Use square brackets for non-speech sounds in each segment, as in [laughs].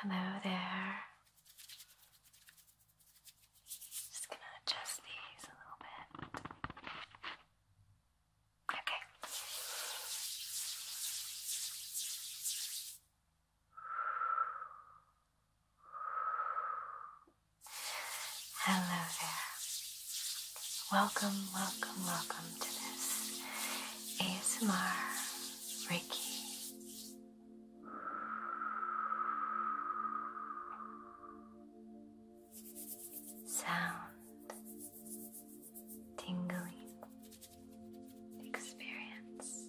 Hello there. Just gonna adjust these a little bit. Okay. Hello there. Welcome, welcome, welcome to this ASMR Reiki. Sound tingling experience.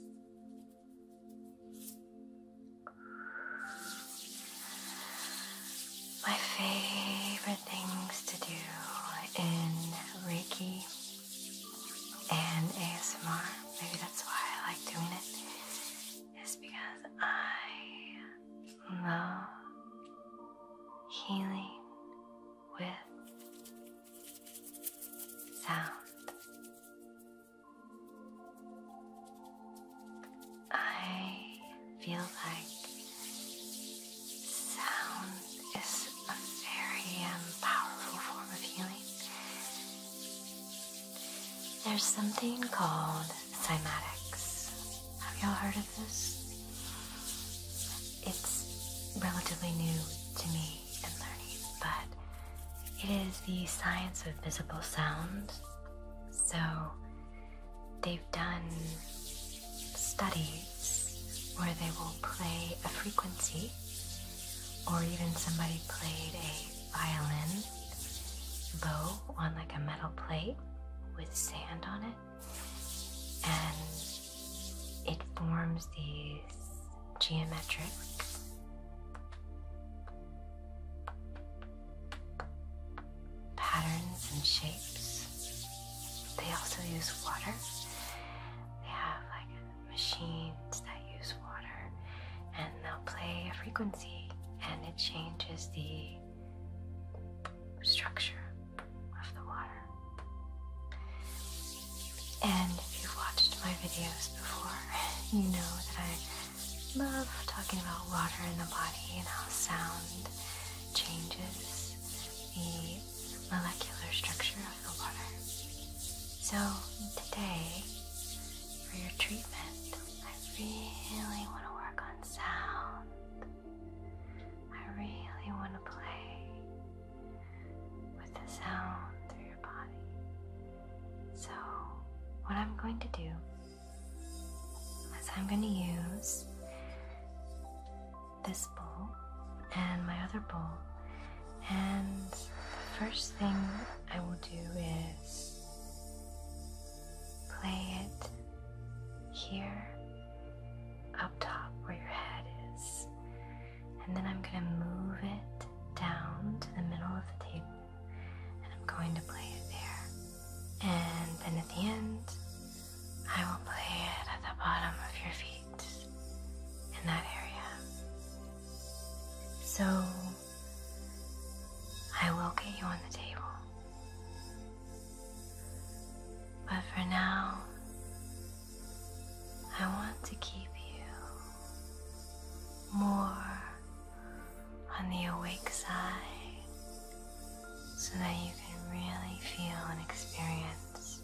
My favorite things to do in Reiki and ASMR. Maybe that's why I like doing it, is because I love healing with sound. I feel like Sound is a very um, powerful form of healing. There's something called cymatics. Have y'all heard of this? It's relatively new to me and learning, but it is the science of visible sound. So they've done studies where they will play a frequency, or even somebody played a violin bow on like a metal plate with sand on it, and it forms these geometric patterns and shapes. They also use water. They have like machines that use water and they'll play a frequency and it changes the structure of the water. And if you've watched my videos before, [laughs] you know that I love talking about water in the body and how sound changes the molecular structure of the water. So, today, for your treatment, I really want to work on sound. I really want to play with the sound through your body. So, what I'm going to do is I'm going to use this bowl and my other bowl. And the first thing I will do is play it here up top where your head is. And then I'm going to move it down to the middle of the table and I'm going to play it there. And then at the end, I will play it at the bottom of your feet in that area. So I will get you on the table. But for now, I want to keep you more on the awake side so that you can really feel and experience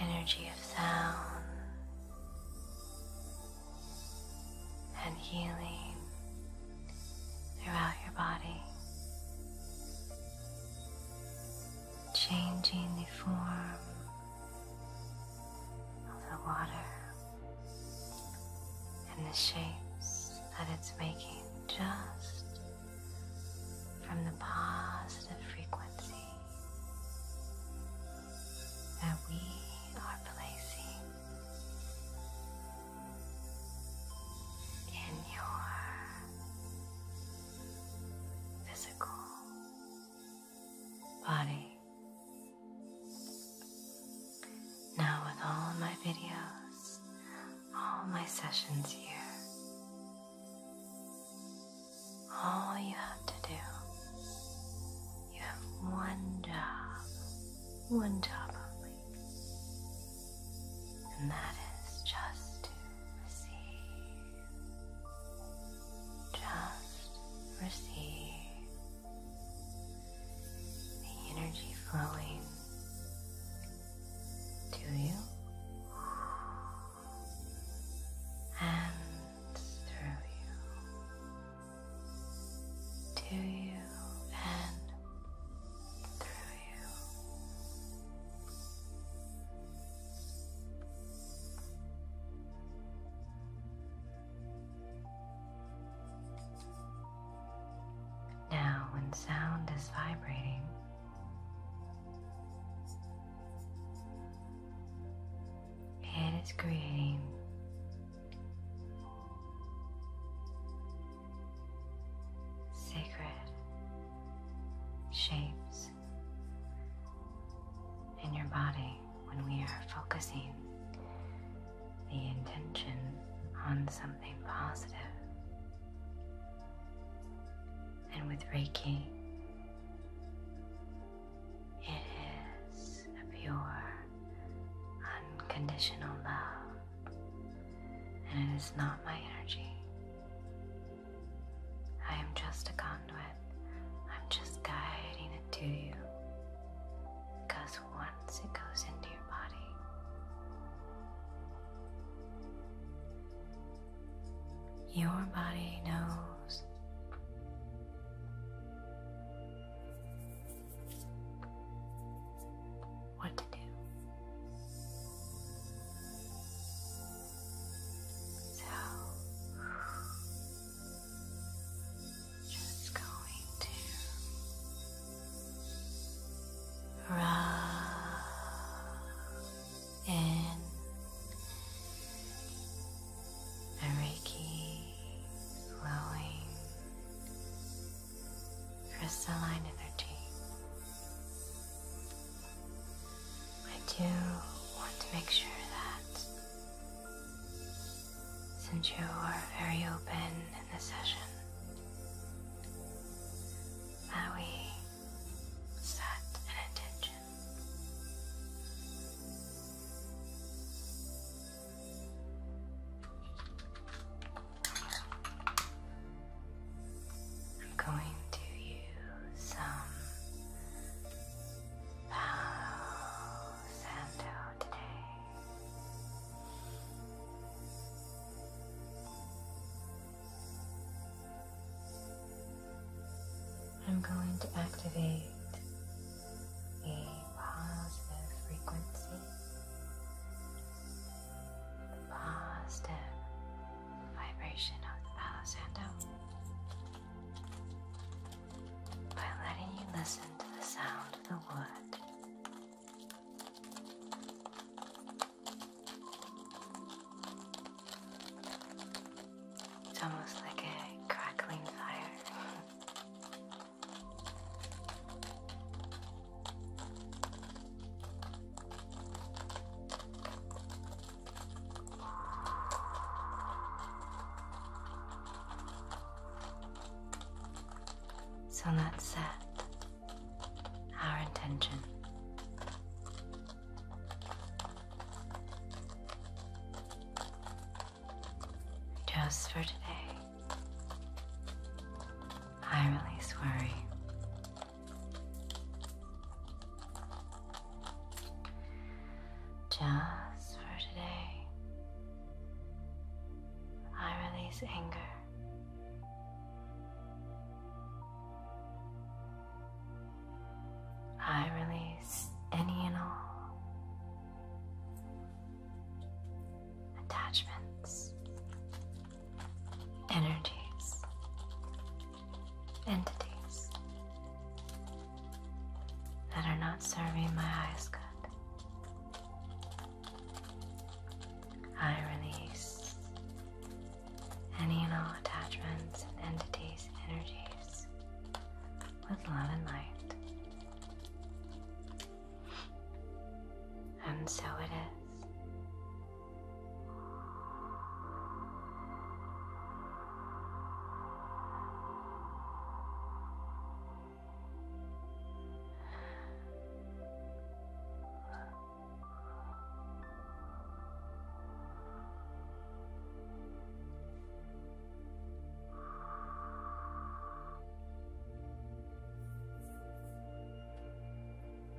Energy of sound and healing throughout your body, changing the form of the water and the shapes that it's making just from the positive frequency that we are placing in your physical body. Now, with all my videos, all my sessions here, all you have to do, you have one job, one job only, and that is just to receive. Just receive the energy flowing to you and through you to you and through you. Now, when sound is vibrating, it is creating sacred shapes in your body when we are focusing the intention on something And with Reiki, it is a pure, unconditional love, and it is not my energy. I am just a conduit, I'm just guiding it to you because once it goes into your body, your body knows what to do. So just going to rub in the Reiki flowing crystalline energy. I do want to make sure that since you are very open in this session, that we set an intention. I'm going to use some Palo today. I'm going to activate a positive frequency, the positive vibration of the Palo Santo by letting you listen to the sound. It's almost like a crackling fire. So let's set our intention. Just for today, I release worry. Just for today, I release anger. I release any and all attachments, energies, entities that are not serving my highest good. I release any and all attachments and entities and energies with love and light. And so it is.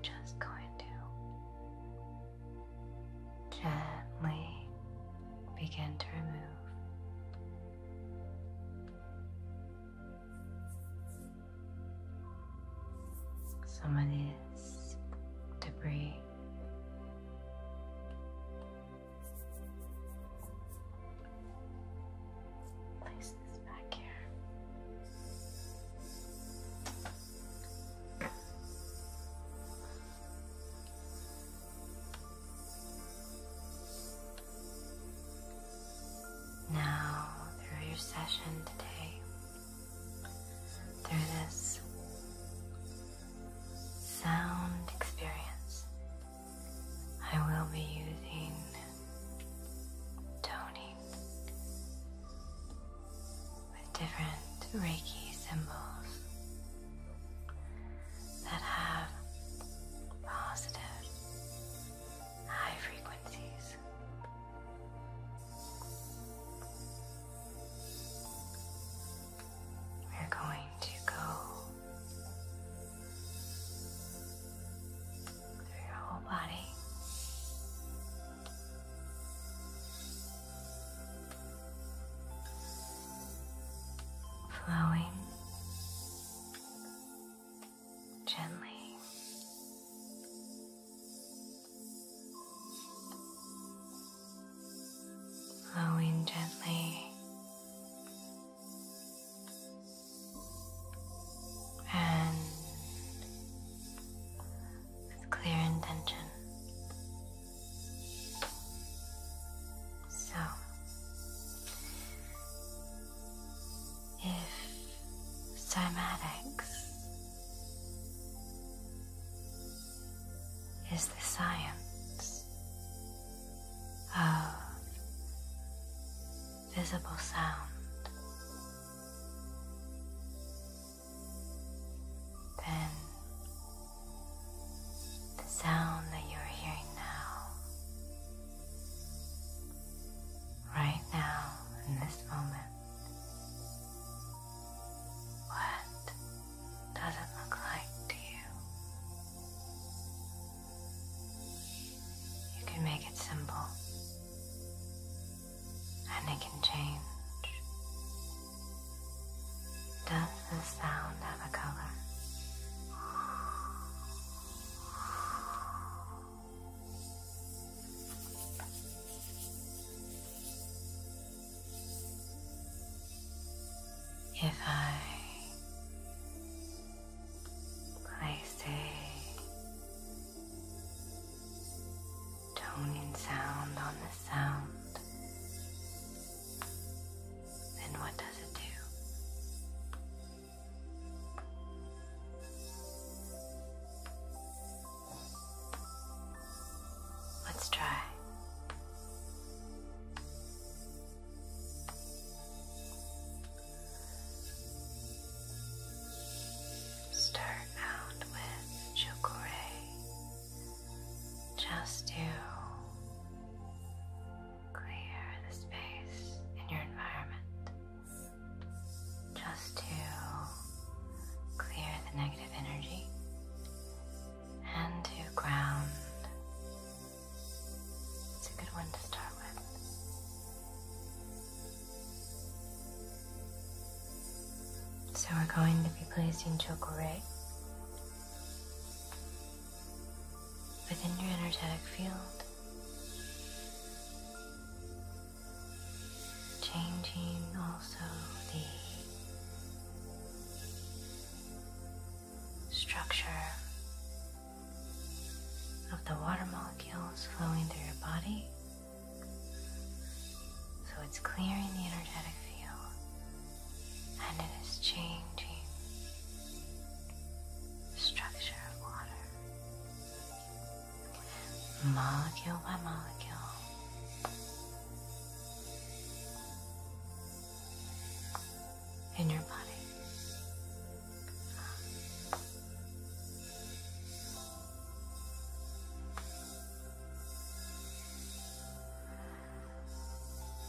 Just going to gently begin to remove some of this debris. Place this back here. Now, through your session today, through this sound experience, I will be using toning with different Reiki symbols that have positive, high frequencies. We're going to go through your whole body. Flowing gently. Flowing gently and with clear intention. So, if cymatics is the science of visible sound, then the sound that you are hearing now right now in this moment. What does it look like to you? You can make it simple and it can change. Does the sound have a color? If I place a toning sound on the sound, then what does it do? Let's try. Start out with chukure, just you. Clear the space in your environment just to clear the negative energy and to ground. It's a good one to start with. So we're going to be placing Chocorate within your energetic field. Changing also the structure of the water molecules flowing through your body. So it's clearing the energetic field and it is changing structure of water, molecule by molecule. In your body.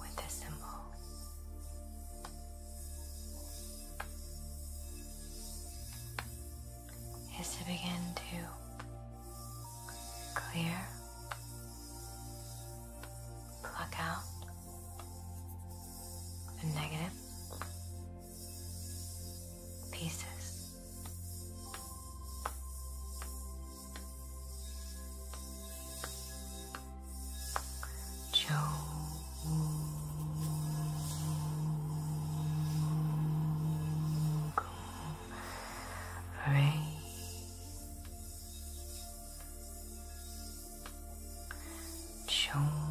with the symbol. Is to begin to clear, pluck out the negative pieces Ray Chung Ray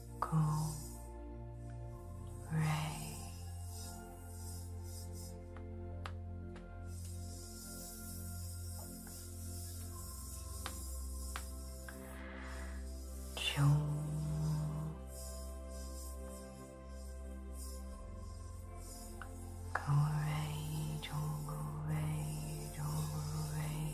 calm ray. Chum. Go away, go away, go away.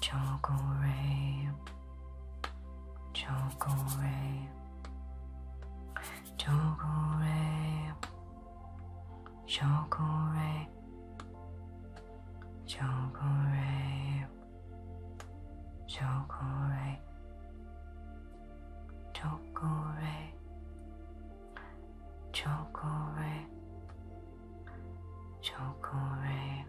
Chocoray, Chocoray, Chocoray, Chocoray, Chocoray, Chocoray, Chocoray, Chocoray, Chocoray.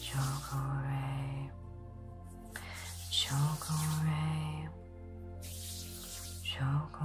Choco Ray, Choco Ray, Choco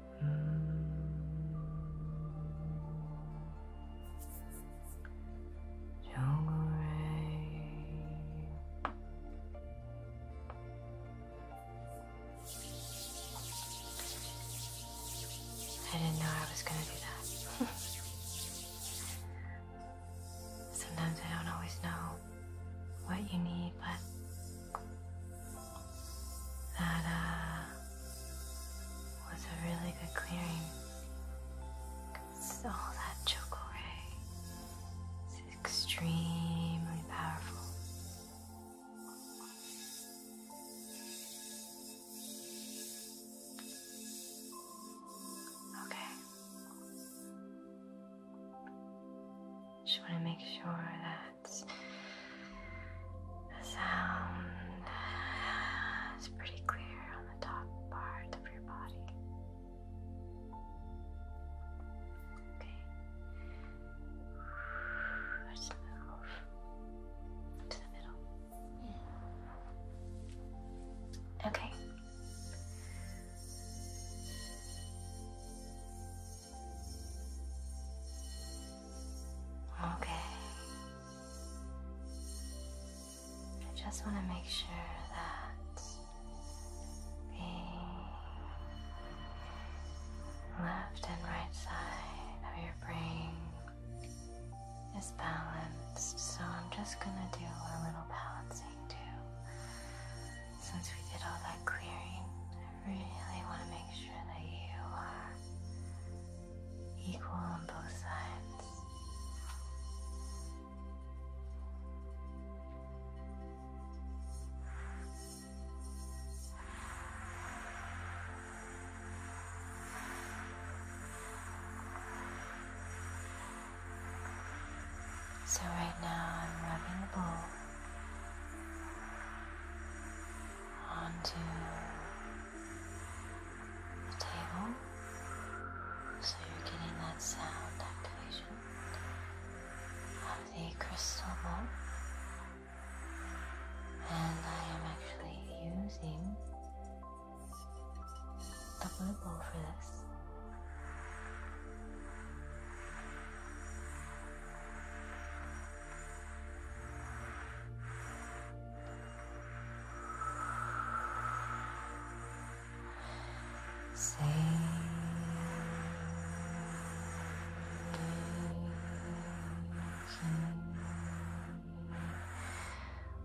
I didn't know I was gonna do that. [laughs] Sometimes I don't always know what you need, but that uh, was a really good clearing. It's all that choco ray. It's extremely powerful. Okay. Just want to make sure that that's the sound is pretty clear on the top part of your body. Okay. Let's move to the middle. Okay. Okay. I just want to make sure that the left and right side of your brain is balanced, so I'm just going to do a little balancing too. Since we did all that clearing, really want to make sure that you are equal on both sides. So right now I'm rubbing the bowl onto the table so you're getting that sound activation of the crystal ball, and I am actually using the blue ball for this. Say.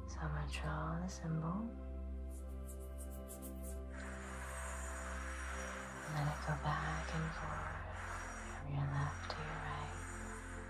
So I'm going to draw the symbol. And let it go back and forth from your left to your right.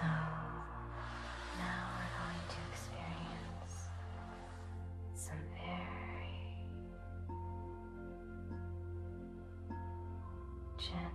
So now we're going to experience some very gentle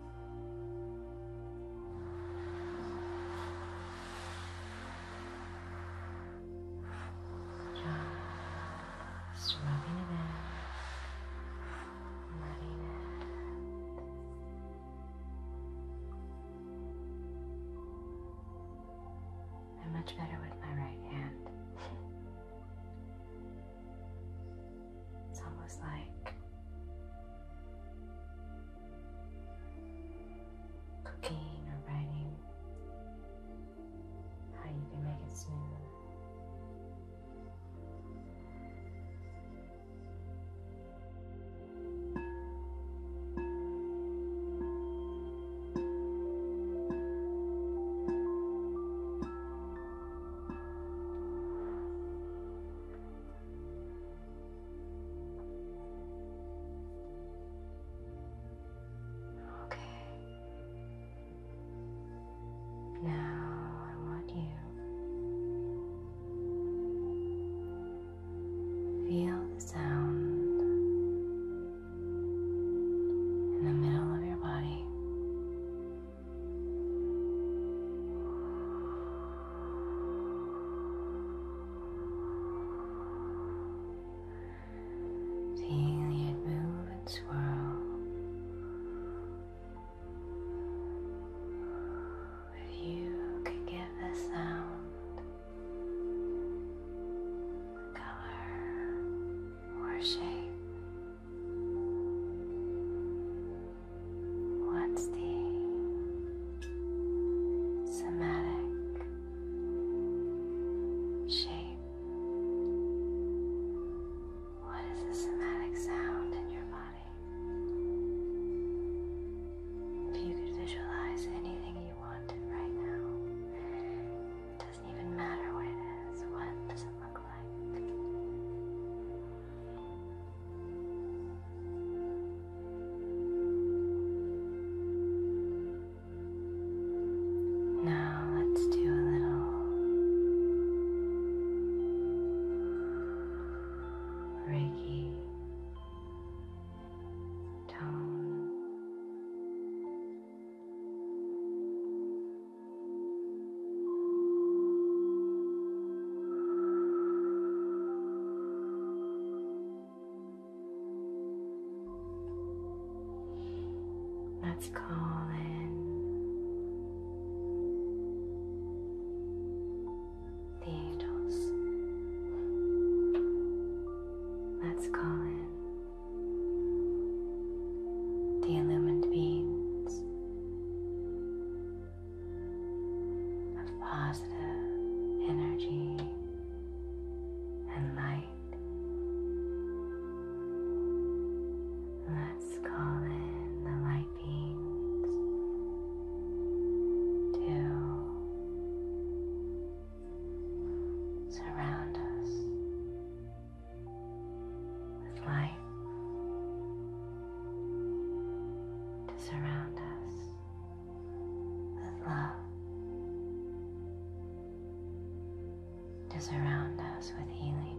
Just rubbing it out, letting it. I'm much better with my right hand. it's almost like cooking or writing, how you can make it smooth. Okay. Now I want you feel the sound in the middle of your body. Feeling it move and swirl. If you could give the sound, the color, or shape What's the somatic shape? What is the somatic sound in your body? If you could visualize anything you wanted right now, it doesn't even matter what it is. What does it look like? Now let's do a little Reiki tone. Let's call in the angels. Let's call in the illumined beings of positive energy and light. Let's call in the light beams to surround us with light. To surround us with love to surround us with healing.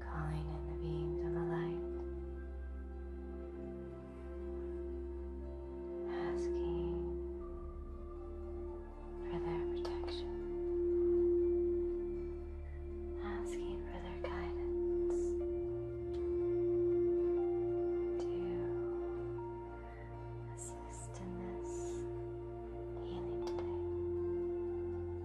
calling in the beams of the light, asking for their protection, asking for their guidance to assist in this healing today.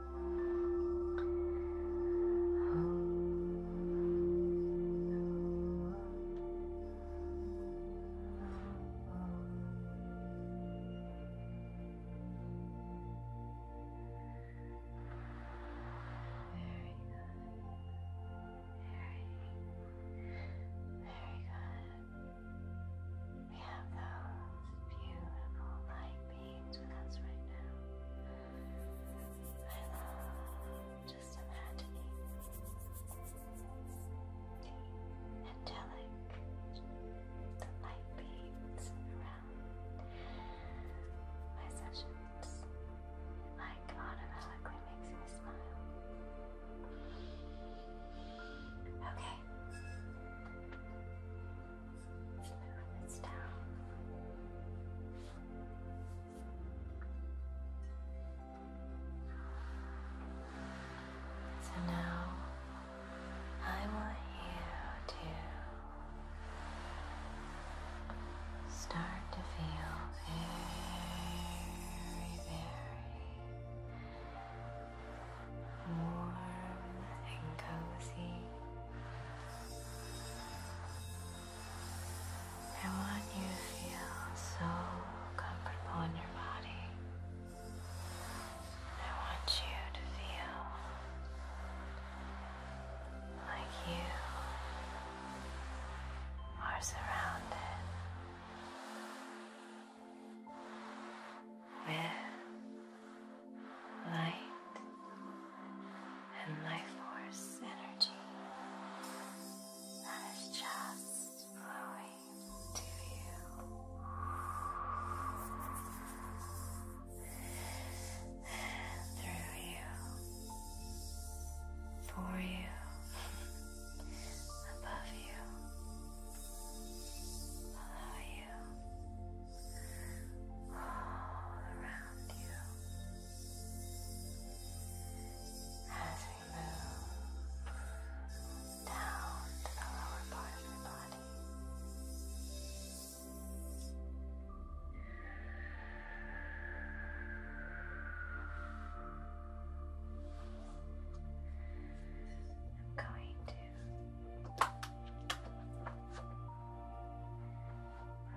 We have those beautiful light beams with us right now. I love just imagining and telling the light beams around my sessions. Like automatically makes me smile. Okay. Smooth this down. So now I want you to start to feel very, very warm and cozy. I want you to feel so comfortable in your body. I want you to feel like you are surrounded with light, and life force energy that is just flowing to you through you, for you, above you, below you you, all around you, as we move down to the lower part of your body. I'm going to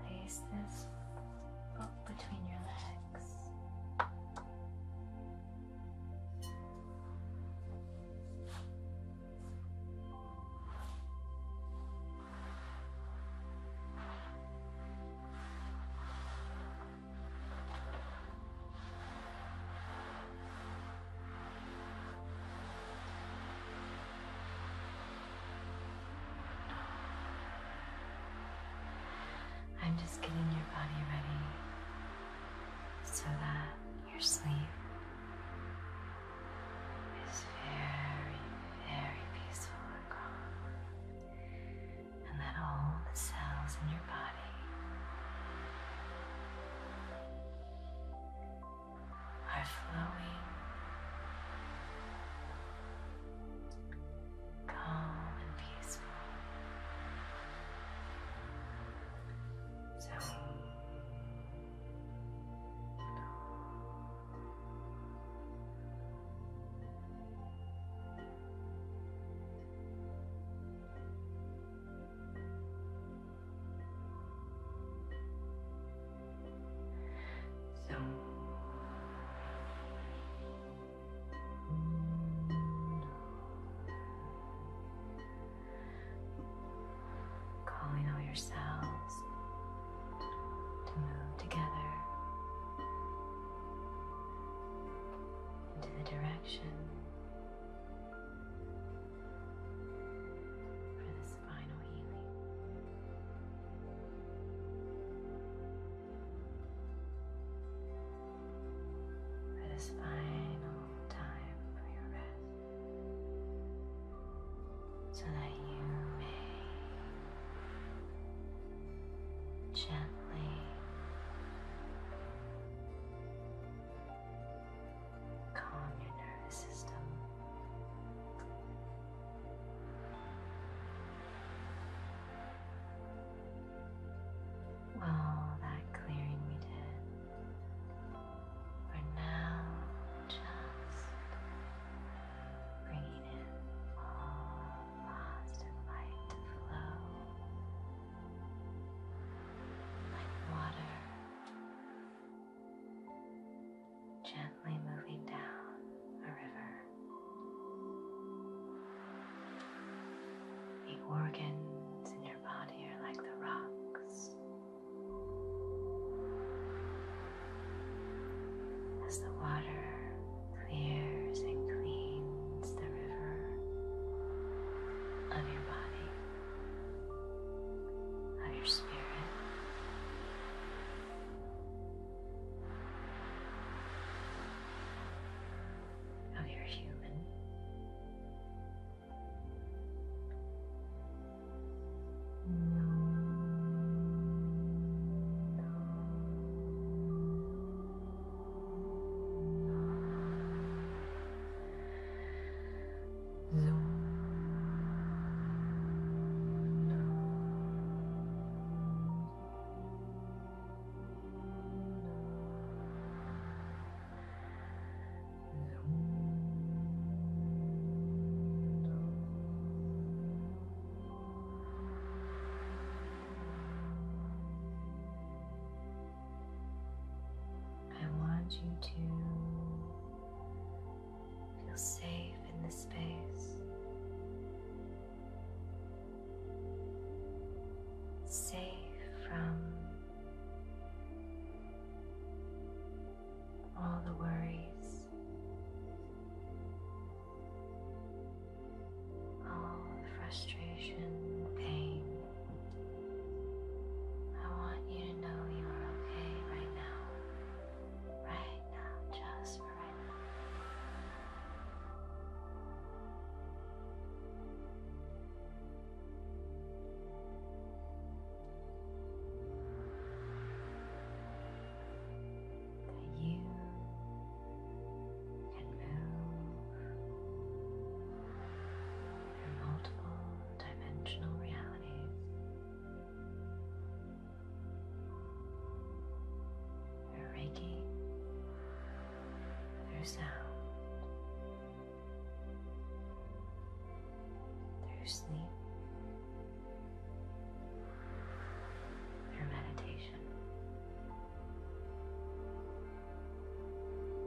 Place this book between your legs. I'm just getting your body ready so that your sleep is very, very peaceful and calm, and that all the cells in your body are flowing calm and peaceful. So so calling all your to move together into the direction this final time for your rest, so that you may gently calm your nervous system. All that clearing we did. We're now just bringing in all positive light to flow like water gently moving down a river. The organs in your body are like the rocks. As the water clears and cleans the river of your body, of your spirit, how you're human. Zoom. I want you to Feel safe in this space. Safe from all the worries, all the frustration, pain. I want you to know you are okay right now right now, just for right now. That you can move through multiple dimensional realities through Reiki, through sound, through sleep, through meditation.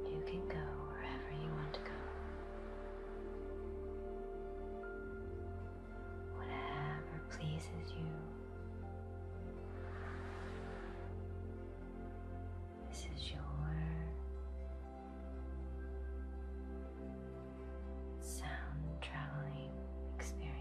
You can go wherever you want to go whatever pleases you. This is your sound traveling experience.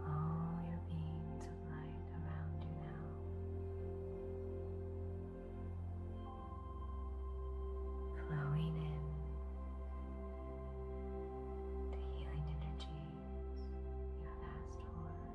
All your beams of light around you now, flowing in the healing energies you have asked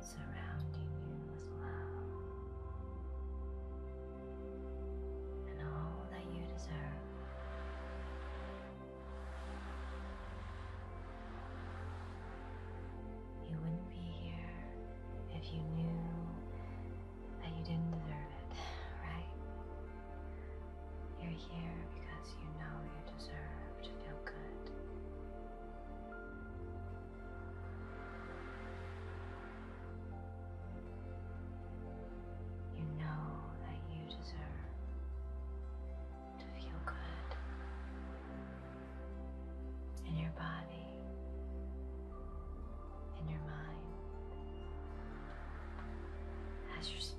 surrounding you with love and all that you deserve. You wouldn't be here if you knew that you didn't deserve it, right? You're here because you know you deserve to feel good. You know that you deserve to feel good in your body, in your mind, as your spirit.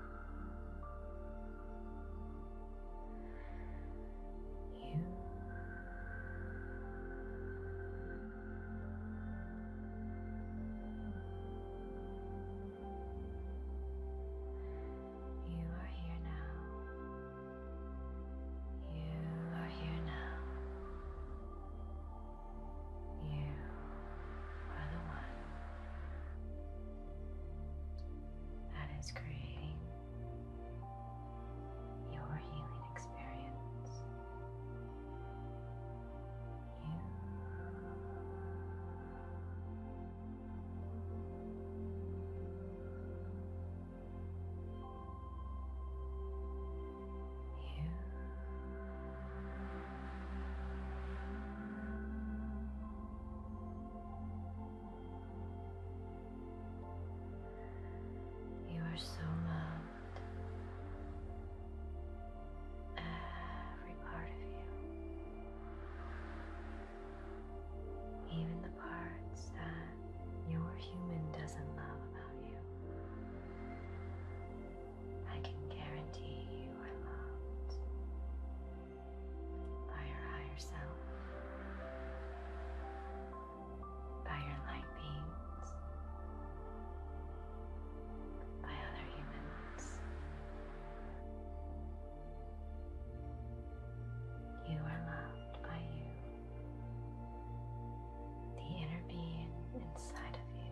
you. You are here now. You are here now. You are the one that is creating your healing experience. You you you are so loved. Every part of you. Even the parts that your human doesn't love about you. I can guarantee you are loved by your higher self, by your light beings, by other humans. You are loved by you, the inner being inside of you.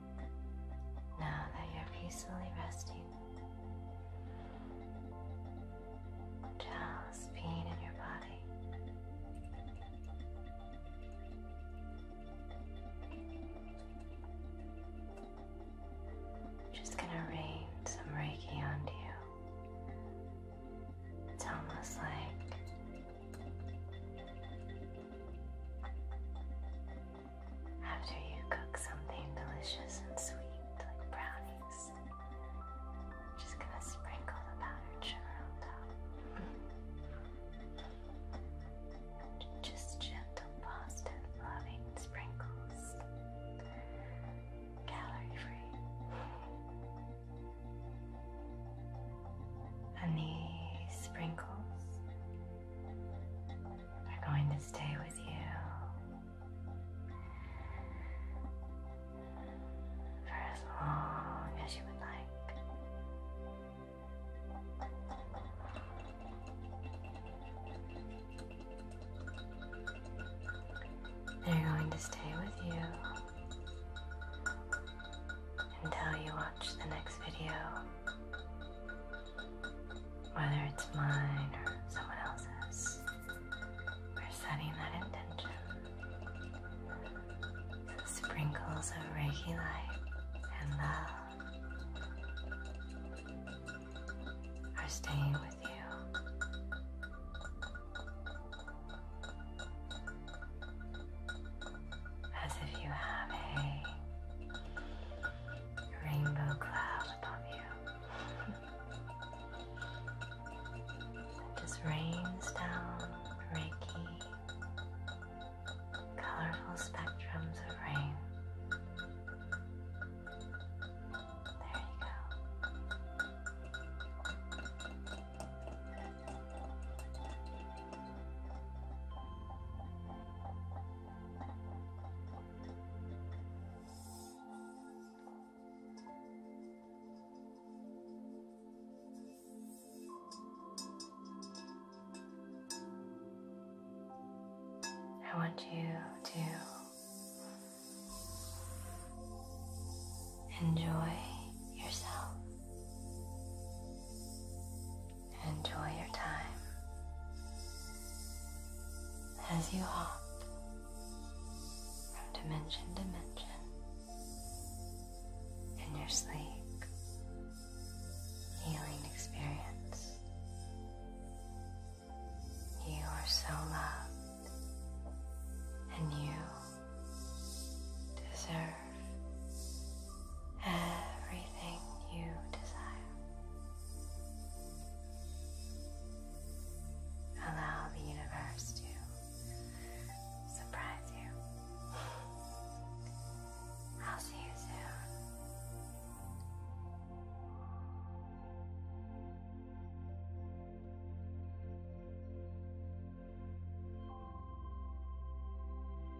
Now that you're peacefully resting, just pain in your body. Just gonna rain some Reiki onto you. It's almost like after you cook something delicious and sweet like brownies, just gonna sprinkle the powdered sugar on top. [laughs] just gentle, positive, loving sprinkles. Calorie free and these sprinkles are going to stay with you for as long as you would like. They're going to stay with you until you watch the next video whether it's mine or someone else's, we setting that intention. Sprinkles of Reiki light and love are staying with you as if you have a rainbow cloud above you. that just rains down Reiki, colorful spectrums of rain. There you go. I want you to enjoy yourself. Enjoy your time as you hop from dimension to dimension in your sleek healing experience. You are so loved and you deserve everything you desire. Allow the universe to surprise you. I'll see you soon.